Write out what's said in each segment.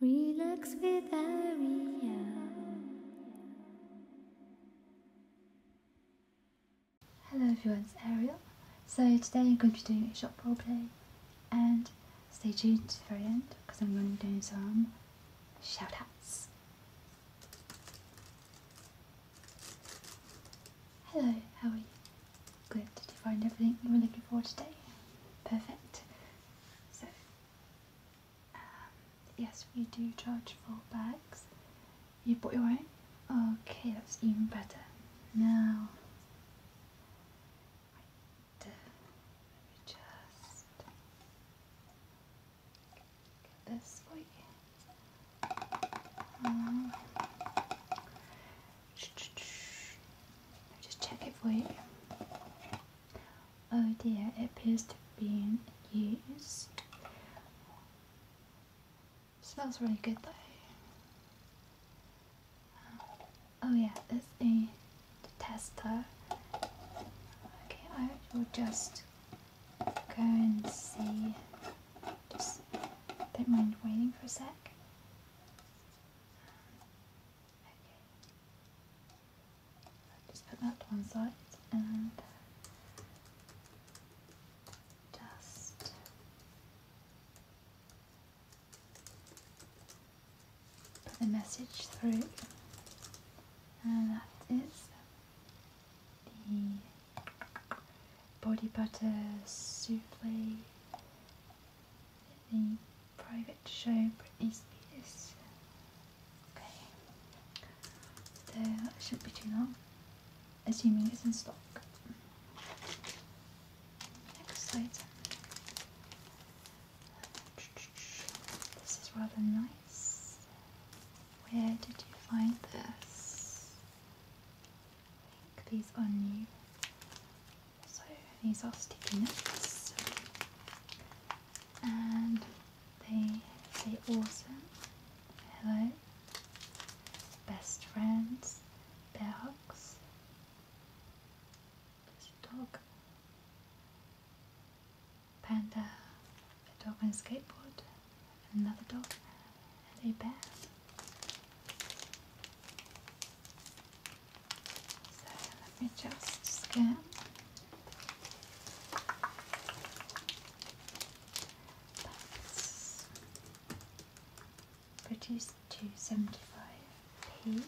Relax with Aria. Hello everyone, it's Ariel. So today I'm going to be doing a shop short roleplay and stay tuned to the very end because I'm going to be doing some shoutouts. Hello, how are you? Good, did you find everything you were looking for today? Perfect. So, um, yes, we do charge for bags. You bought your own? Okay, that's even better. Now, uh, let me just get this for you. Um, just check it for you. Oh dear, it appears to be in use. Smells really good though. Oh yeah, it's the, the tester. Okay, I will just go and see. Just don't mind waiting for a sec. Just put that to one side and just put the message through and that is the body butter souffle the private show Britney Spears. Okay, so that shouldn't be too long, assuming it's in stock. Next item. This is rather nice. Where did you find this? these are new. So these are sticky notes and they say awesome, hello, best friends, bear hugs. There's dog, panda, a dog on a skateboard, another dog, and a bear. So let me just scan. That's produced to p Okay,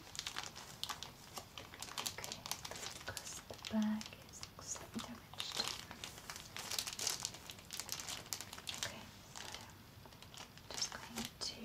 because the bag is damaged. Okay, so just going to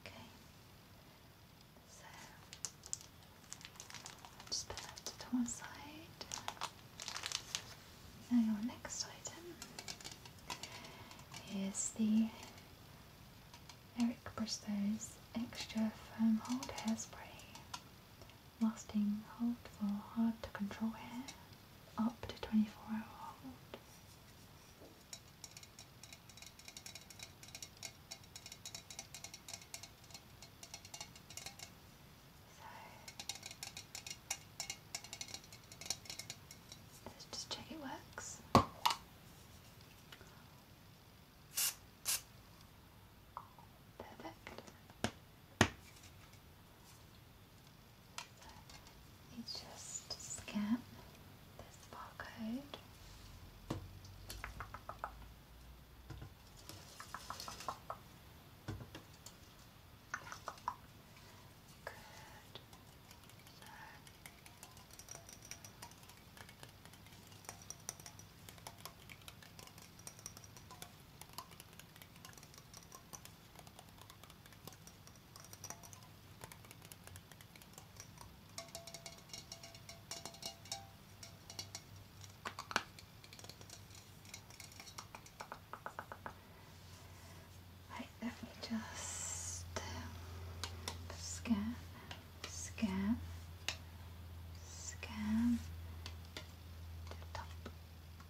Okay, so just put that to one side. Now your next item is the Eric Bristow's Extra Firm Hold Hairspray. Lasting hold for hard to control hair up to 24 hour hold. So let's just check it works. Perfect. Let just scan this barcode. Good let me just um, scan, scan, scan the top.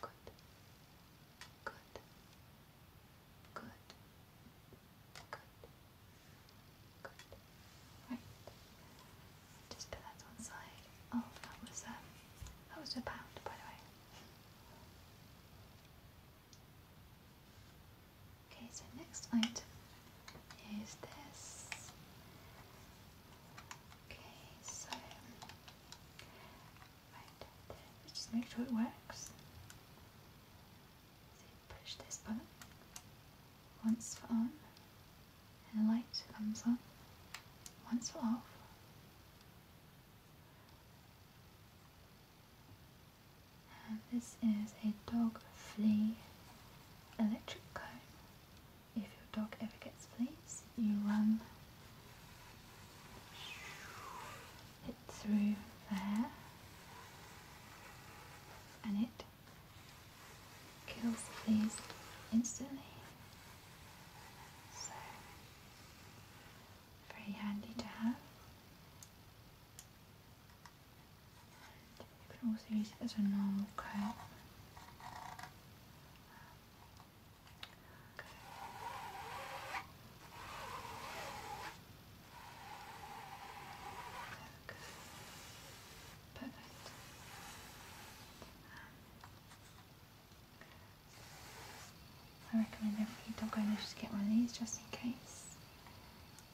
Good. Good. Good. Good. Good. Right. Just put that on side. Oh, that was that was a pound by the way. Okay, so next item is this. Okay, so Right, then just make sure it works. So push this button once for on, and the light comes on. Once for off. And this is a dog flea electric comb your dog ever gets fleas, you run it through there and it kills the fleas instantly. So, very handy to have. you can also use it as a normal comb good. Perfect. Um, I recommend every dog owner just get one of these just in case.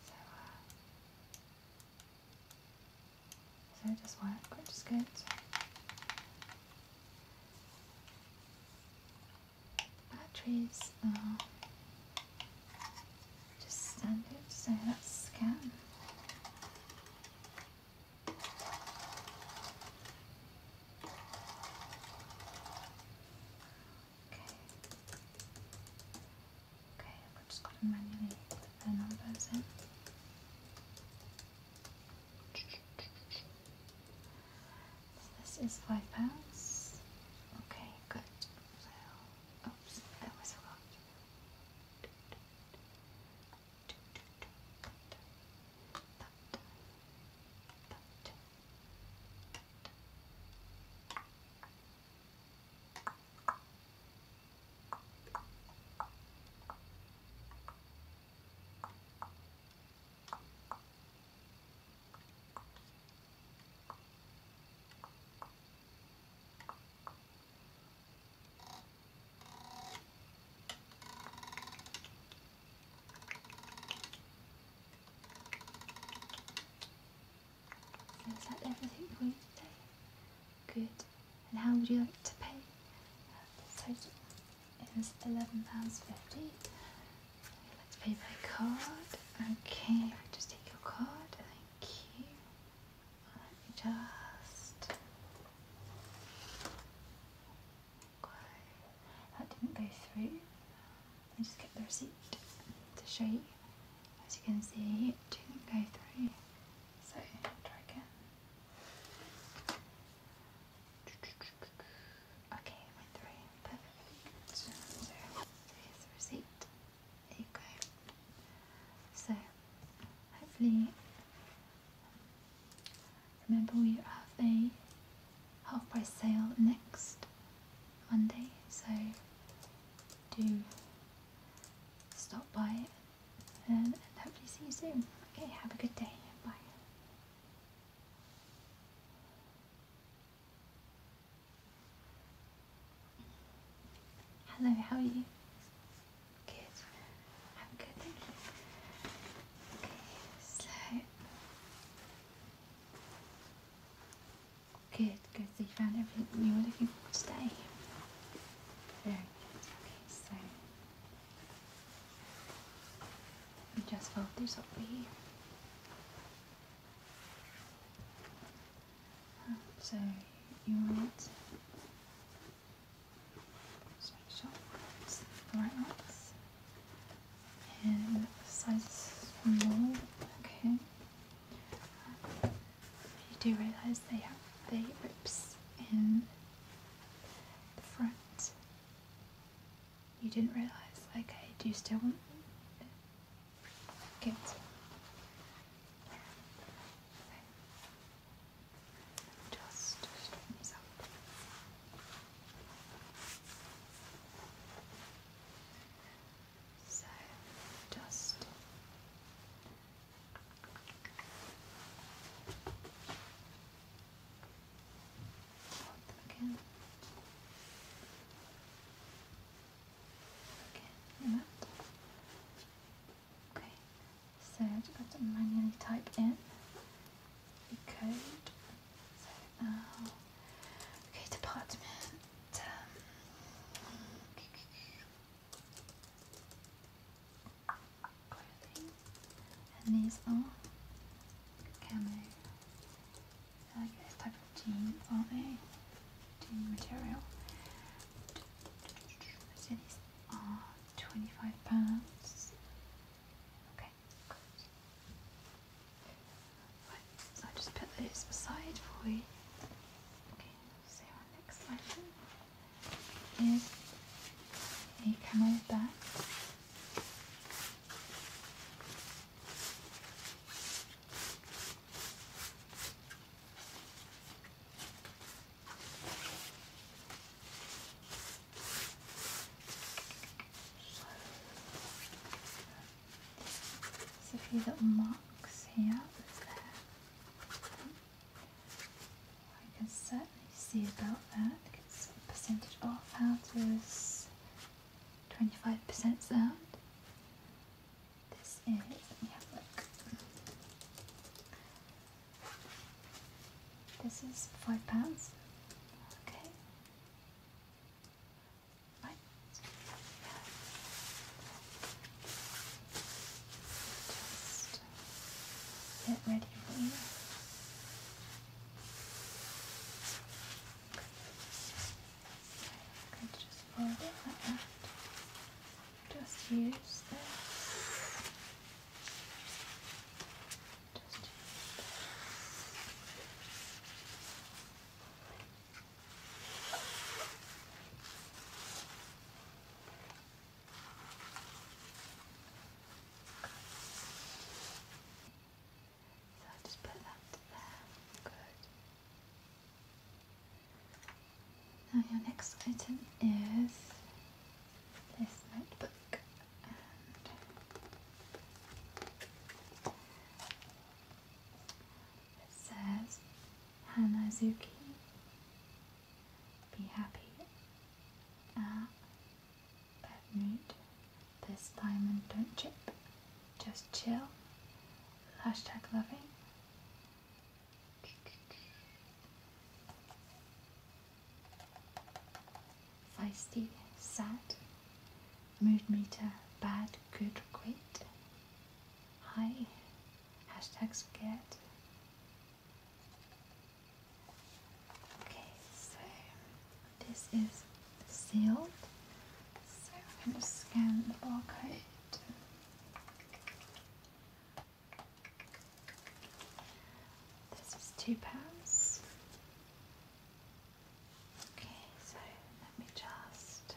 So, uh, it does work, which is good. Batteries are uh, just standard, so let's scan. Okay. Okay, I've just got to manually numbers in this is five pounds. Okay, good. oops, I always forgot. So is that everything for you today? Good. And how would you like to pay? Uh, is eleven pounds fifty. Let's pay by card. Okay, I'll just take your card. Thank you. Let me just. Okay, that didn't go through. I just get the receipt to show you. As you can see, it didn't go through. So try again. Okay, we three. Perfect. So, here's the receipt. There you go. So, hopefully, remember we have a half price sale next Monday, so do stop by and hopefully see you soon. Okay, have a good day. Bye. Hello, how are you? Good. I'm good, thank you. Okay, so good, good. So you found everything you were looking for today. Very good. Okay, so I just felt this up here. So you want just make sure the right And the size small. Okay. You do realise they have the rips in the front you didn't realize. Okay, do you still want them? Just So, just. Once Okay, Okay, so I've manually type in the code. So okay, department. And these are camo. I like this type of jean or a jean material. So these are £25. Okay, Right, so i just put those aside for you. Okay, see so our next item is a camelback. There's a few little marks here. I can certainly see about that because the percentage off out is 25% sound. This is, let look. This is five pounds. Okay. Right get ready for you. just fold it like Just use this. Just use so I just put that there. Good. Now your next item is this notebook and it says Hanazuki be happy but mood, this diamond don't chip, just chill, hashtag loving. Feisty, sad, mood meter, bad, good, great. Hi, hashtag scared, Okay, so this is sealed. So I'm going to scan the barcode. This is two pounds. Okay, so let me just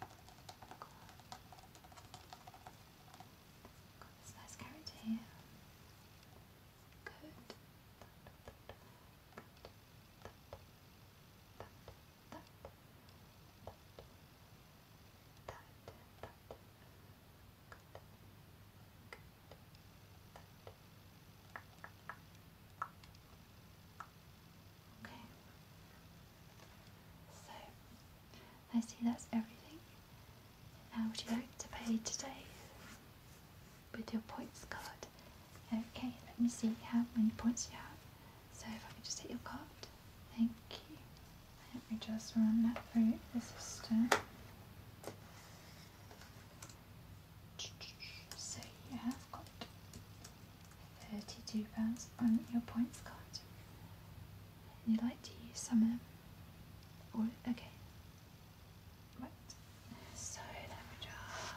Got this nice carrot here. Good. Okay. So I see that's everything. How would you like to pay today? With your points card. Okay, let me see how many points you have. So if I could just hit your card. Thank you. Let me just run that through the system. So you have got £32 on your points card. And you'd like to use some of them. or okay. Right. So let me just.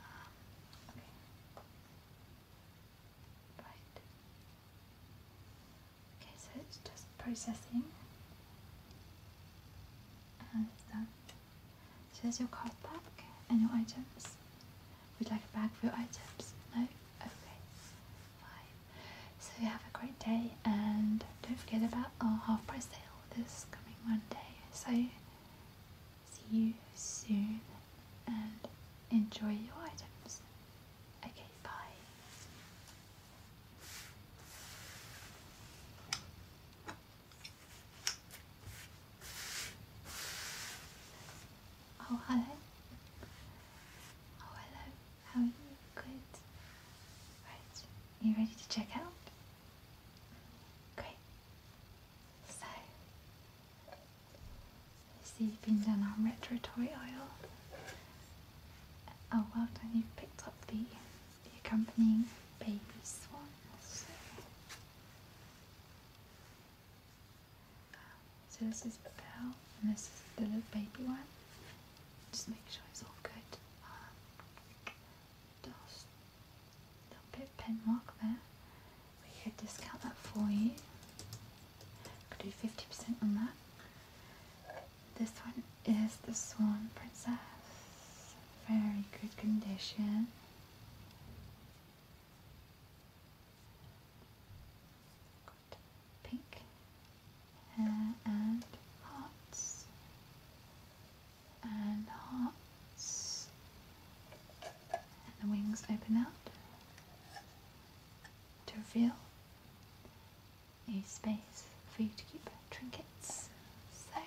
Um, okay. Right. Okay, so it's just processing. And done. There's your card back and your items. Would like a bag for your items? No? Okay. Fine. So you have a great day and don't forget about our half price sale this coming Monday. So see you soon and enjoy your items. Okay, bye. Oh, hello. Oh, hello. How are you? Good. Right. you ready to check out? Great. So, you see, you've been done on retrotory oil. Oh, well done. You've picked up the, the accompanying baby swan. So this is the bell, and this is the little baby one. Just make sure it's all good. Um, uh, a little bit pen mark there. We could discount that for you. Could do 50% on that. This one is the Swan Princess. Very good condition. Got pink uh, and hearts and hearts and the wings open out to reveal a space for you to keep trinkets. So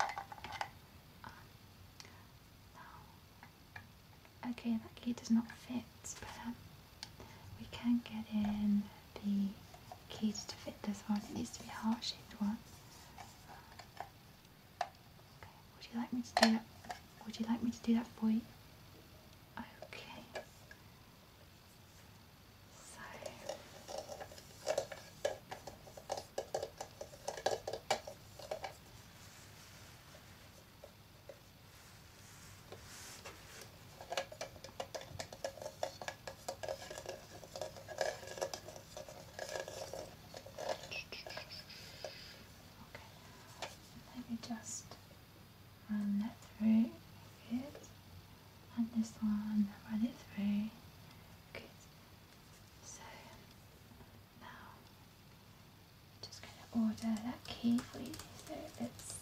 uh, now Okay, that key does not fit, but we can get in the keys to fit this one. It needs to be heart-shaped one. Would you like me to do that? Would you like me to do that for you? Okay. So let me just run that through good and this one run it through good so now, just gonna order that kiwi. So it's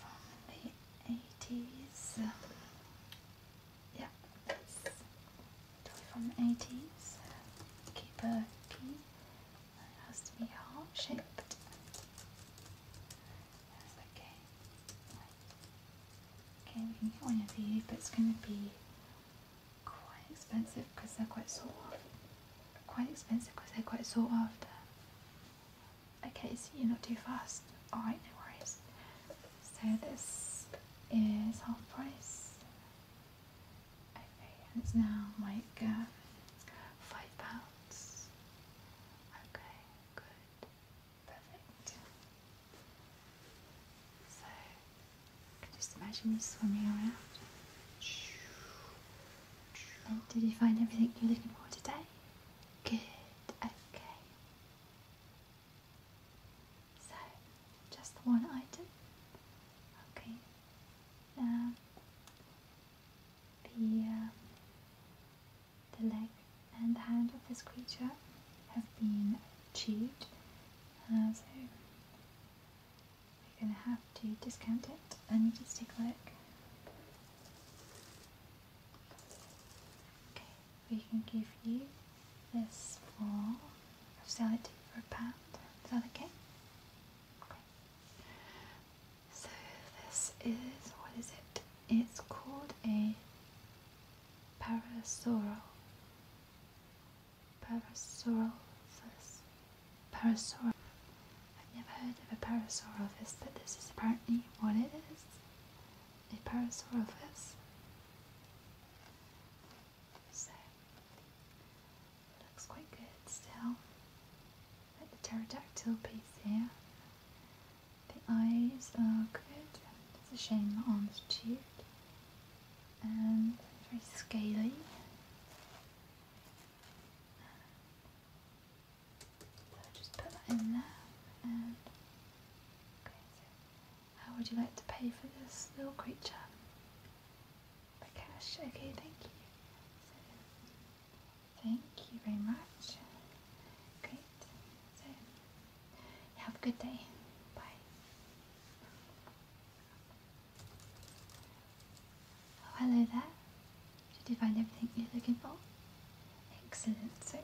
from the eighties. Yeah, that's from the eighties. Keeper key. It has to be heart shaped. okay. Okay, we can get one of these, but it's gonna be quite expensive because they're quite sought after. Quite expensive because they're quite sought after. Okay, so you're not too fast. Alright, no worries. So this is half price. Okay, and it's now my um, uh, five pounds. Okay, good. Perfect. So, just imagine you swimming around. did you find everything you're looking for today? Good, okay. So, just the one item. Okay. Now, um, the, um, the leg and hand of this creature have been achieved. Uh, so, we are gonna have to discount it. I need to take a look. Okay, we can give you this for sell it for a pound. Is that okay? Okay. So this is what is it? It's called a parasaural. Parasaurolophus. Parasaur. I've never heard of a Parasaurolophus, but this is apparently what it is. A Parasaurolophus. So, looks quite good still. Like the pterodactyl piece here. The eyes are good. It's a shame the arms are chewed and um, very scaly. just put that in there um, and how would you like to pay for this little creature? By cash, okay thank you. thank you very much. Great. have a good day. Bye. Oh, hello there. Did you find everything you're looking for? Excellent, So you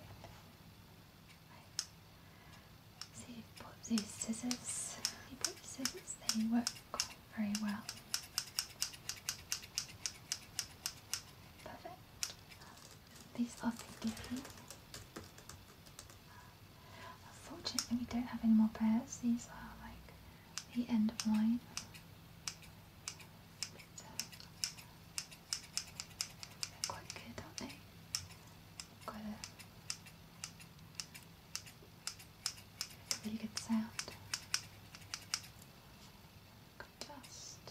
bought these scissors. You scissors, they work very well. Perfect. These are 50 Unfortunately, we don't have any more pairs. These are like the end of line. Uh, quite good, aren't they? Got a really good sound. Got dust.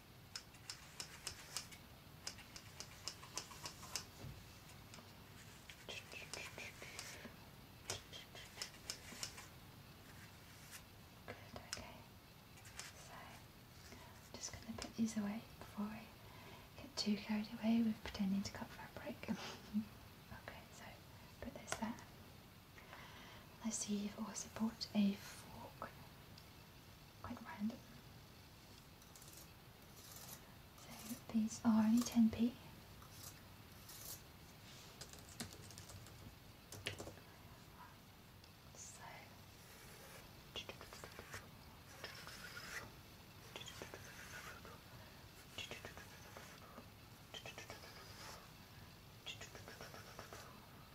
Good, okay. So, I'm just going to put these away before I get too carried away with pretending to cut fabric. okay, so put this there. Oh, I see you've also bought a fork. Quite random. So these are only 10p.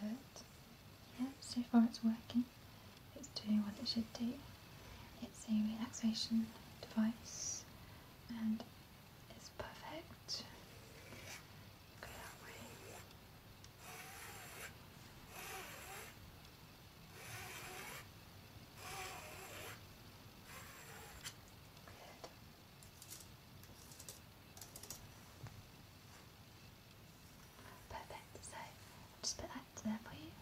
Good. Yeah, so far it's working. It's doing what it should do. It's a relaxation device and it's perfect. Good. Perfect, so I'll just put that into there for you.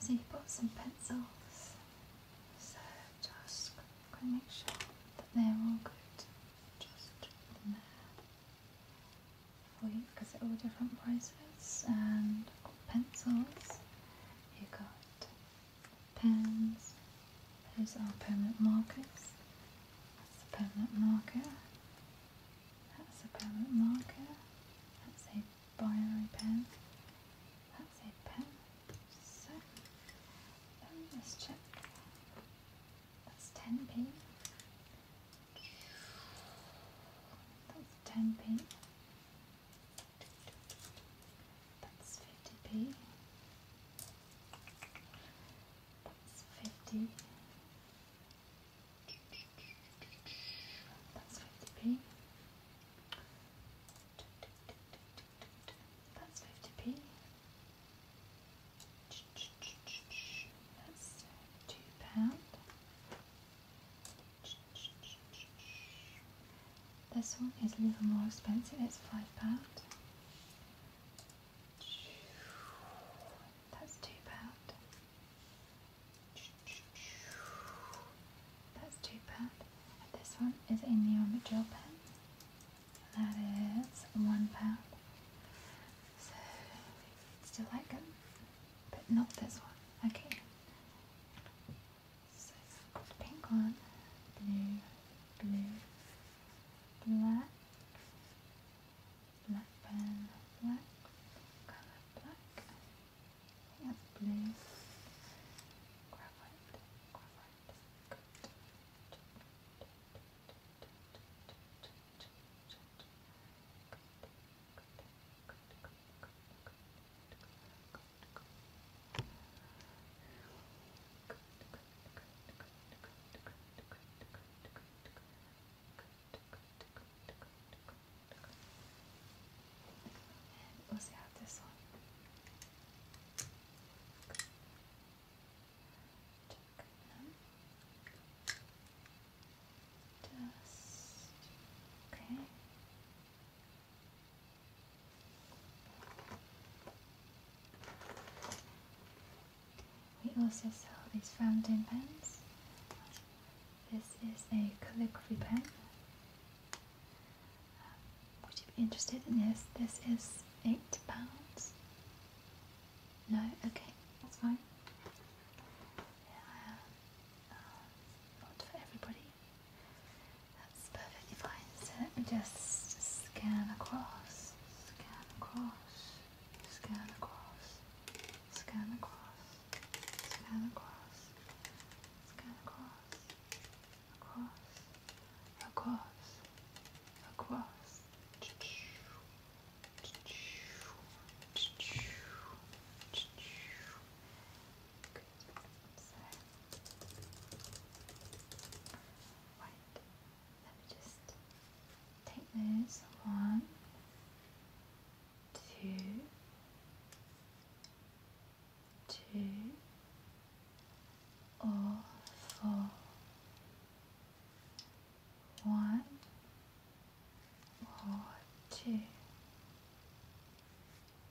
So you bought some pencils, so just going to make sure that they're all good. Just there for you because they're all different prices and pencils. You got pens. Those are permanent markers. That's a permanent marker. That's a permanent marker. That's a binary pen. That's a pen. So, um, let's check. That's 10 pen. That's 10 pen. That's 50p. That's 50. That's 50p. That's 50p. That's two pound. This one is a little more expensive, it's £5. That's £2. That's £2. this one is a neon gel pen. That is £1. So, still like them, but not this one. Okay. So pink one, blue, blue, black, black pen, black, colour black, yes blue, graphite, graphite, good. Good, good, good, good, good, good, good, good, good, and we'll see how this one. Check them. Just okay. We also sell these fountain pens. This is a calligraphy pen. Um, would you be interested in this? This is eight pounds. No, okay, that's fine. Yeah, uh, not for everybody. That's perfectly fine. So let me just scan across, scan across, scan across, scan across, scan across, scan across, across, across, across. So, right, let me just take those one, two, two, or four, one, or two.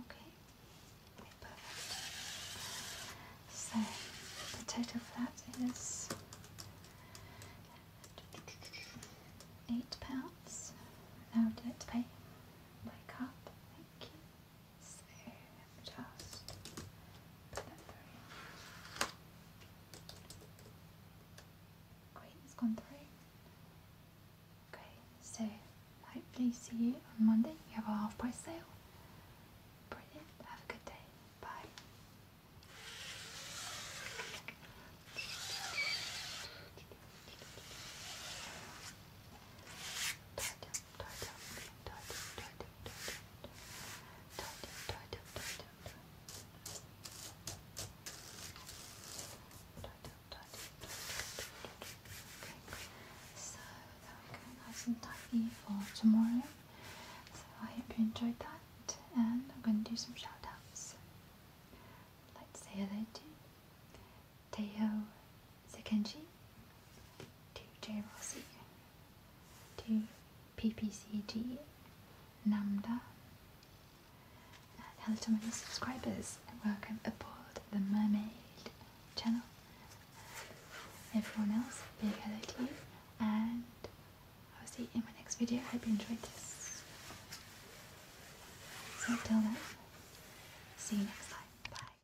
Okay. Perfect. So the total for that is eight pounds. Now did it pay? Wake up, thank you. So just put that through. Great, it's gone through. Okay, so hopefully see you on Monday. We have a half price sale. Brilliant. Have a good day. Bye. Tighten, Okay, nice and tidy for tomorrow. So I hope you enjoyed that, and I'm going to do some shout outs. Let's see say they do. Teo Zakenji, to J. Rossi, to PPCG Namda. hello to my new subscribers and welcome aboard the Mermaid channel. Everyone else, big hello to you and I'll see you in my next video. I Hope you enjoyed this. So till then, see you next time.